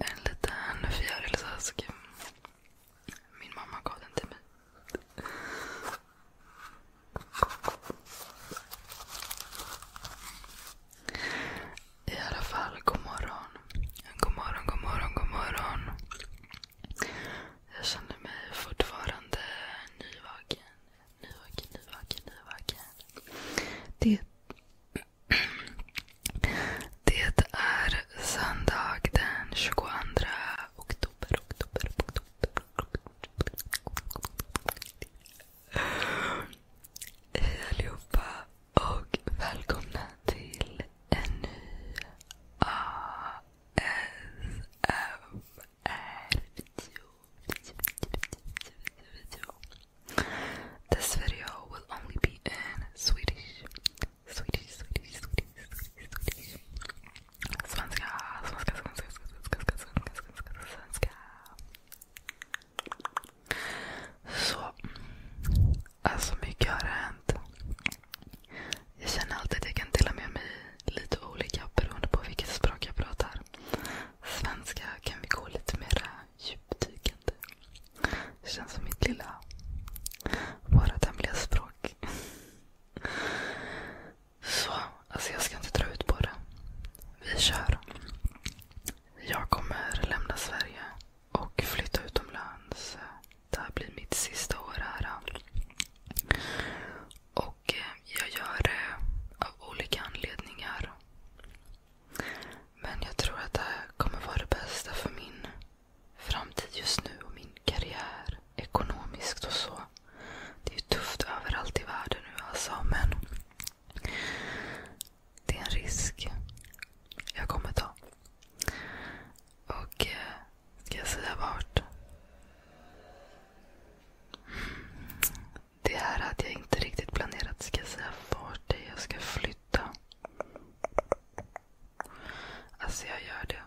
En liten fjäril så här. Så Min mamma gav den till mig. I alla fall, god morgon. God morgon, god morgon, god morgon. Jag känner mig fortfarande nyvaken, nu och nu Det är söndag den 22 oktober. Hej allihopa och välkomna till en ny ASMR-video. This video will only be in Swedish. Swedish, Swedish, Swedish, svenska, svenska, svenska, svenska. Så, alltså mycket har hänt. Jag känner alltid att jag kan dela med mig lite olika beroende på vilket språk jag pratar svenska kan vi gå lite mera djupdykande. Det känns som mitt lilla, vårat hemliga språk. Så, alltså jag ska inte dra ut på det. Vi kör. Jag kommer lämna Sverige och flytta utomlands. Det här blir mitt sista år här. Och eh, jag gör det eh, av olika anledningar. Men jag tror att det här kommer vara det bästa för min framtid just nu och min karriär ekonomiskt och så. Det är ju tufft överallt i världen nu alltså. Men det är en risk jag kommer ta. Och eh, ska jag säga vart? det här hade jag inte riktigt planerat. Ska jag säga vart det jag ska flytta? Alltså jag gör det.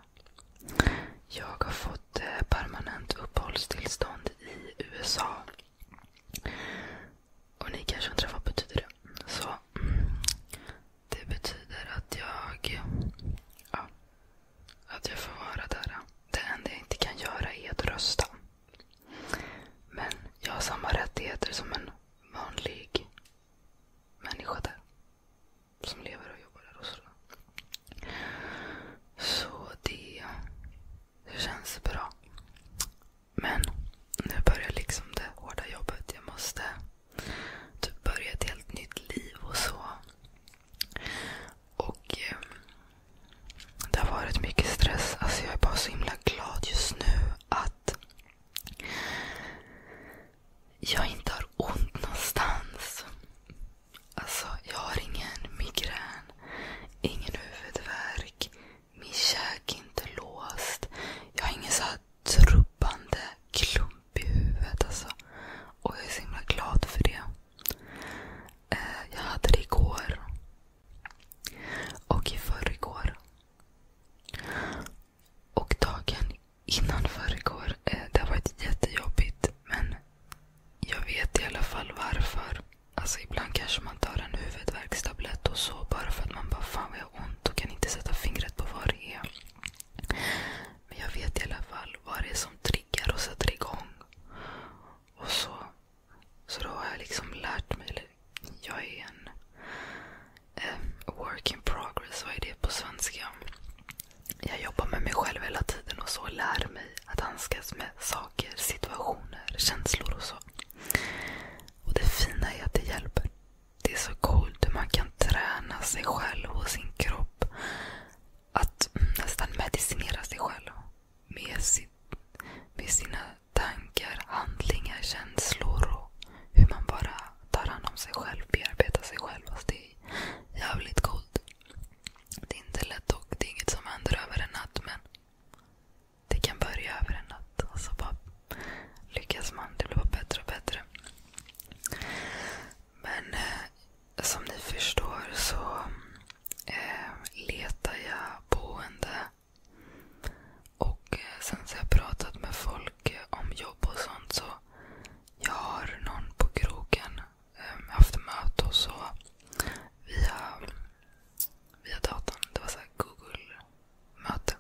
Jag har fått eh, permanent uppehållstillstånd i USA. Och ni kanske undrar vad betyder det? Så det betyder att jag ja, att jag får vara där. Det enda jag inte kan göra är att rösta. Men jag har samma rättigheter som en vanlig människa där. Som lever och jobbar där och sådär. Så det, det känns bra. Men nu börjar liksom det hårda jobbet. Jag måste typ börja ett helt nytt liv och så. Och eh, Det har varit mycket stress. Alltså jag är bara så himla glad just nu att jag inte har ont någonstans. Alltså, jag har ingen migrän, ingen huvudvärk, min käk är inte låst. Jag har ingen så här trubbande klump i huvudet. Alltså. Och jag är så himla glad för det. Eh, jag hade det igår. Och i förrgår. Och dagen innan förrgår. Eh, det har varit jättejobbigt. Men jag vet i alla fall varför. Alltså ibland kanske man tar en huvudvärkstablett och så bara för att man bara fan vad jag har ont och kan inte sätta fingret på vad det är. Men jag vet i alla fall vad det är som triggar och sätter igång. Och så, så då har jag liksom lärt mig. Eller jag är en eh, work in progress. Vad är det på svenska? Jag jobbar med mig själv hela tiden och så lär mig att handskas med saker, situationer, känslor och så. Och det fina är att det hjälper. Det är så coolt hur man kan träna sig själv och sin kropp att nästan medicinera sig själv med, sin, med sina tankar, handlingar, känslor och hur man bara tar hand om sig själv, bearbetar sig själv. Alltså det är jävligt coolt. Det är inte lätt och det är inget som händer över en natt men det kan börja över en natt. Och så bara lyckas man. Det blir bara bättre och bättre. Men eh, som ni förstår så eh, letar jag boende. Och eh, sen så har jag pratat med folk eh, om jobb och sånt. så Jag har någon på krogen eh, haft möte och så via, via datorn. Det var så Google-möte.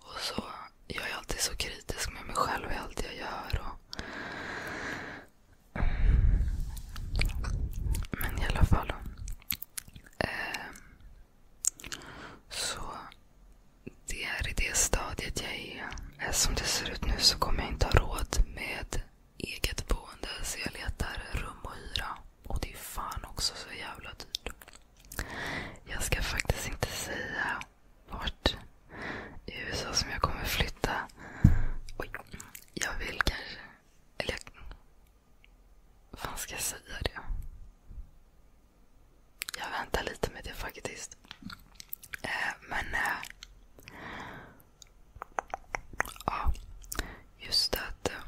Och så jag är alltid så kritisk med mig själv i allt jag gör. Och men i alla fall. Eh, så det är i det stadiet jag är. Eh, som det ser ut nu så kommer jag inte ha råd med eget boende. Så jag letar rum och hyra. Och det är fan också så jävla dyrt. Jag ska faktiskt inte säga vart i USA som jag kommer flytta. Oj, jag vill kanske... Eller jag... Fan ska jag säga det? Jag väntar lite med det faktiskt. Eh, men... Eh, ja, just att eh,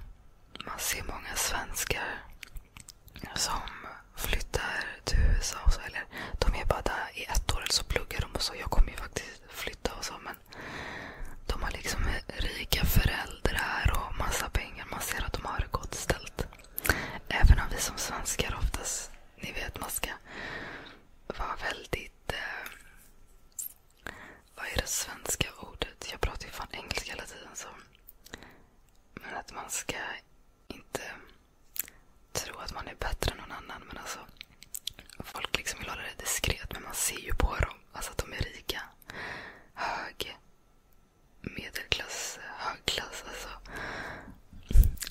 man ser många svenskar som flyttar till USA. Och så, eller de är bara där i ett år eller så pluggar de och så. Jag kommer ju faktiskt flytta och så. Men de har liksom rika föräldrar och massa pengar. Man ser att de har det gott ställt. Även om vi som svenskar oftast, ni vet man ska vara väldigt... Eh, vad är det svenska ordet? Jag pratar ju fan engelska hela tiden. Så. Men att man ska inte tro att man är bättre än någon annan. Men alltså, folk liksom vill hålla det diskret, men man ser ju på dem alltså att de är rika. Hög, medelklass, högklass. Alltså.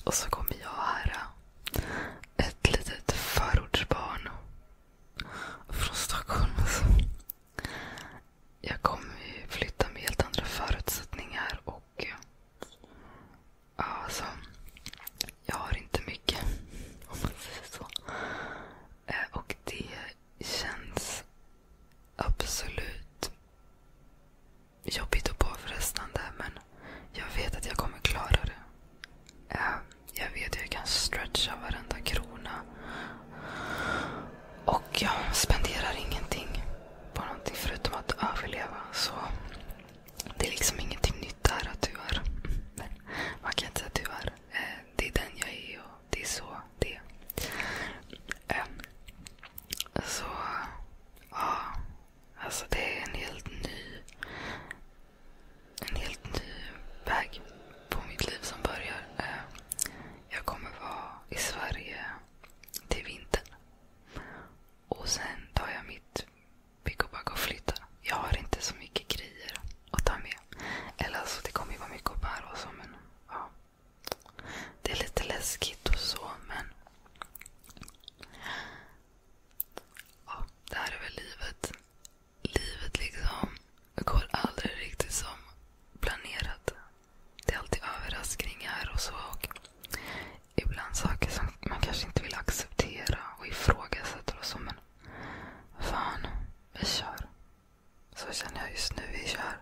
Och så kommer jag här. Ett litet förortsbarn. Från Stockholm alltså. Jag kommer flytta med helt andra förutsättningar. och Alltså, jag har inte mycket. Om man säger så. Eh, och det känns absolut jobbigt och påfrestande. Men jag vet att jag kommer klara det. Eh, jag vet att jag kan stretcha varenda krona. Och jag spenderar ingenting på någonting förutom att överleva. Så det är liksom ingenting nytt här att du är. man kan inte säga att du är. Eh, det är den jag är och det är så det är. Ehm, så ja, alltså det är en helt ny en helt ny väg på mitt liv som börjar. Ehm, jag kommer vara i Sverige till vintern. Och sen tar jag mitt vi går bara och flyttar. Jag har inte så mycket grejer att ta med. Eller alltså, det kommer ju vara mycket att bära och så. Men, ja. Det är lite läskigt och så, men... Ja, det här är väl livet. Livet liksom går aldrig riktigt som planerat. Det är alltid överraskningar och så. Och ibland saker som man kanske inte vill acceptera och ifrågasätta och så. Men fan, vi kör. Så känner jag just nu. Vi kör.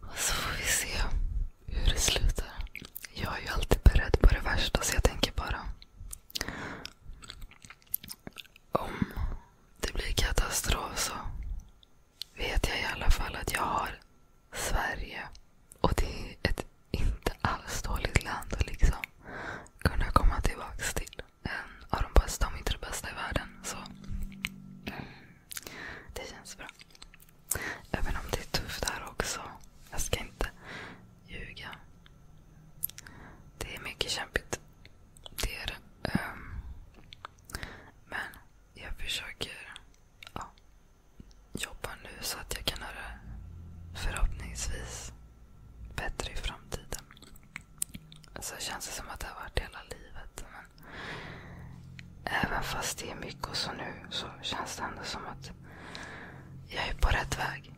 Och så får vi se hur det slutar. Jag är ju alltid beredd på det värsta så jag tänker bara om det blir katastrof så vet jag i alla fall att jag har Sverige. Och det är ett inte alls dåligt land att liksom kunna komma tillbaka till. En av de bästa, om inte det bästa i världen. Så mm, det känns bra. Även om det är tufft här också. Jag ska inte ljuga. Det är mycket kämpigt. Det är det. Ehm, men jag försöker ja, jobbar nu så att jag kan göra förhoppningsvis bättre i framtiden. Så känns det som att det har varit hela livet. Men även fast det är mycket och så nu så känns det ändå som att jag är på rätt väg.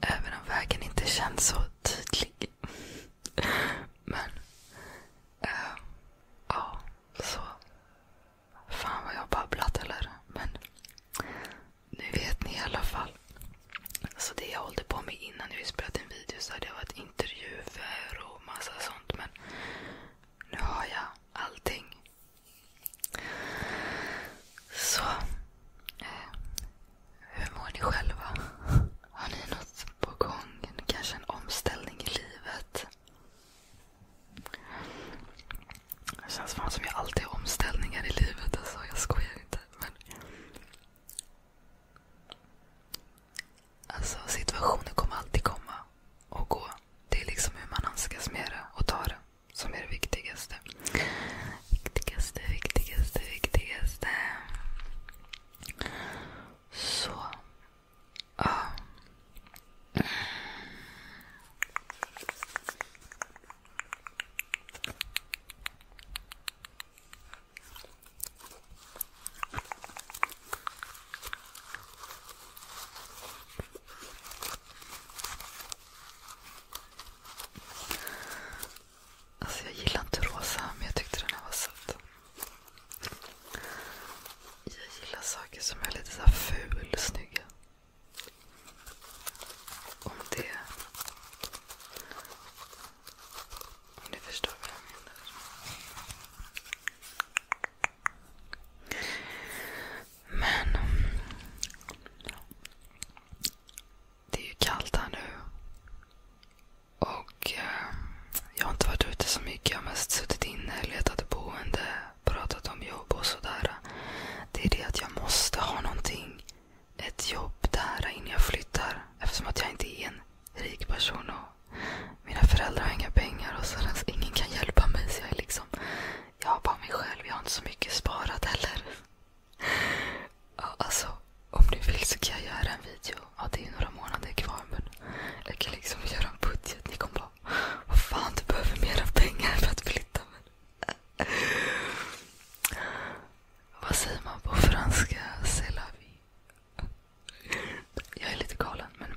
Även om vägen inte känns så tydlig. Men, äh, ja, så. Fan vad jag har babblat eller? Men nu vet ni i alla fall. Så det jag hållde på med innan vi spelade en video så hade jag varit intervjuer och massa sånt. Men nu har jag allting. Så. Eh, hur mår ni själva? Har ni något på gång? Kanske en omställning i livet? Det känns fan som jag alltid har omställningar i livet. Alltså, jag skojar inte. Men... Alltså, situationer kommer alltid komma och gå. Det är liksom hur man handskas med det och tar det som är det viktigaste. Viktigaste, viktigaste, viktigaste. Så. Alltså jag gillar inte rosa men jag tyckte den här var söt. Jag gillar saker som är lite så här ful snygga. Om det... Om ni förstår vad jag menar. Men... Det är ju kallt här nu. Och eh, jag har inte varit ute så mycket. Jag har mest suttit inne, letat boende, pratat om jobb och sådär. Det är det att jag måste ha någonting. Ett jobb där innan jag flyttar. Eftersom att jag inte är en rik person. och Mina föräldrar har inga pengar och sådär. Så ingen kan hjälpa mig. Så jag är liksom... Jag har bara mig själv. Jag har inte så mycket sparat heller. Ja, alltså, om du vill så kan jag göra en video ja, det är ju några månader kvar men jag kan liksom göra en budget. Ni kommer bara, vad fan du behöver mera pengar för att flytta. Men... Vad säger man på franska? C'est la vie. Jag är lite galen men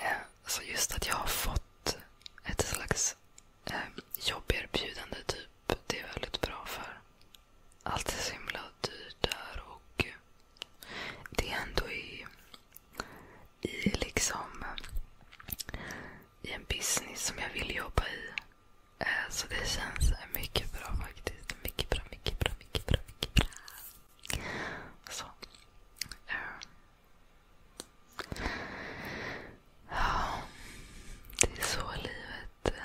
eh, just att jag har fått ett slags eh, jobberbjudande typ. Det är väldigt bra för allt är så himla dyrt där och eh, det är ändå i, i liksom i en business som jag vill jobba i. Eh, så det känns mycket bra faktiskt. Mycket bra, mycket bra, mycket bra. Mycket bra. Så. Eh, ja, det är så livet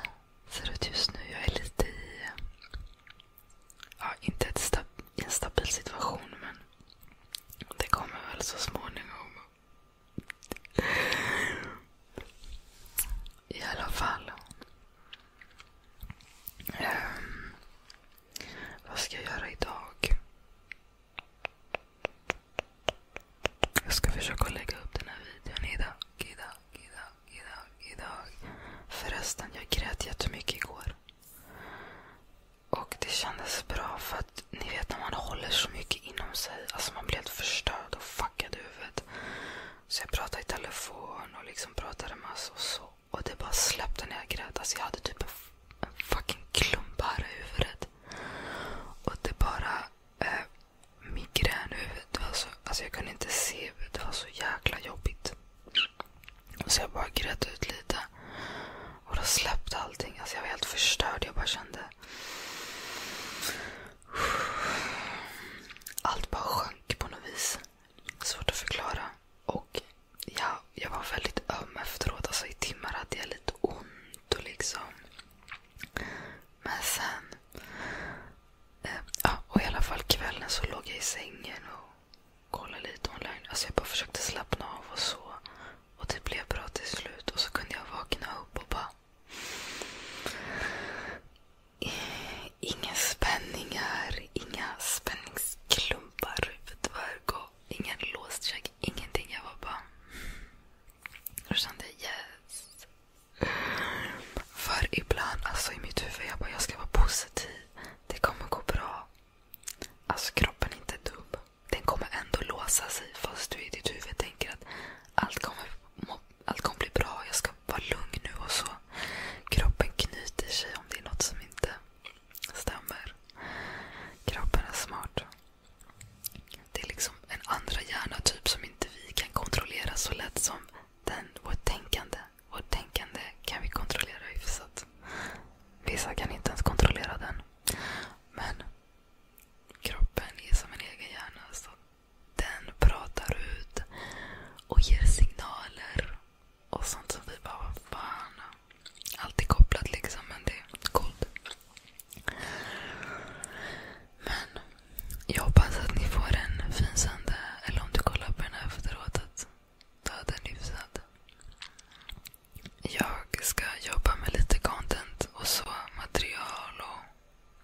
ser ut just nu. Jag är lite i ja, inte ett stab en stabil situation, men det kommer väl så småningom. I alla fall. Um, vad ska jag göra idag? Jag ska försöka lägga upp den här videon idag, idag, idag, idag, idag. Förresten, jag grät jättemycket igår. Och det kändes bra för att ni vet när man håller så mycket inom sig. Alltså man blir helt förstörd och fuckad i huvudet. Så jag pratade i telefon och liksom pratade massor och så. Och det bara släppte när jag grät. Alltså jag hade typ en, en fucking klump här i huvudet. Och det bara eh, migrän i huvudet. Alltså, alltså jag kunde inte se. Det var så jäkla jobbigt. Så jag bara grät ut lite. Och då släppte allting. Alltså jag var helt förstörd. Jag bara kände... Allt bara sjönk på något vis. Svårt att förklara. Och ja, jag var väldigt öm efteråt. Alltså I timmar hade jag lite ont. och liksom... Men sen... Eh, ja, och i alla fall kvällen så låg jag i sängen och kolla lite online. Alltså jag bara försökte slappna av och så. Och det blev bra till slut. Och så kunde jag vakna upp och bara... Eh, inga spänningar, inga spänningsklumpar, huvudvärk och ingen låskäk. Ingenting. Jag var bara... Mm. Jag kände yes. För ibland, alltså i mitt huvud, jag bara jag ska vara positiv. Det kommer gå bra. Alltså kroppen är inte dum. Den kommer ändå låsa sig fast du i ditt huvud tänker att allt kommer, allt kommer bli bra. Jag ska vara lugn nu och så. Kroppen knyter sig om det är något som inte stämmer. Kroppen är smart. Det är liksom en andra hjärna typ som inte vi kan kontrollera så lätt som den, vårt tänkande. Vårt tänkande kan vi kontrollera hyfsat. Vissa kan inte ens kontrollera den. Men kroppen är som en egen hjärna. Så den pratar ut och ger signaler och sånt som vi bara, vad fan. Allt är kopplat liksom, men det är coolt. Men jag hoppas att ni får en fin söndag. Eller om du kollar på den här efteråt att du hade en hyfsad. Jag ska jobba med lite content och så material och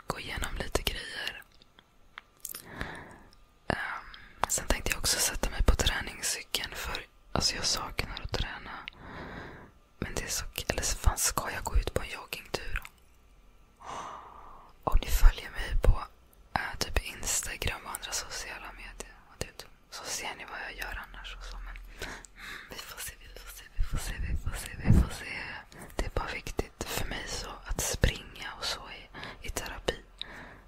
gå igenom lite grejer. Ehm, sen tänkte jag också sätta mig på träningscykeln för alltså jag saknar att träna. Men det är så Eller fan, ska jag gå ut på en joggingtur? Om ni följer mig på äh, typ Instagram och andra sociala medier och det, typ, så ser ni vad jag gör annars. Och så, men, mm, vi får se, vi får se, vi får se, vi får se. Vi får se. Det är bara viktigt för mig så att springa och så i, i terapi.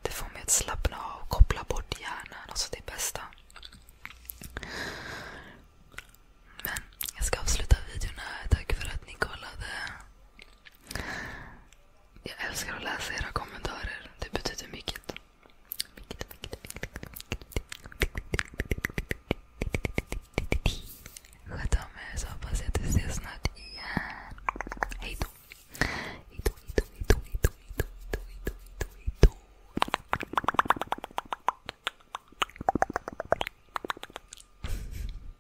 Det får mig att slappna av koppla bort hjärnan. Alltså det bästa. Men jag ska avsluta videon här. Tack för att ni kollade. Jag älskar att läsa era kommentarer. Det betyder mycket. mycket, mycket, mycket. Sköt om er så hoppas jag att vi ses snart igen. Hej då. Hej då, hej då, hej då, hej då, hej då, hej då, hej då, hej då.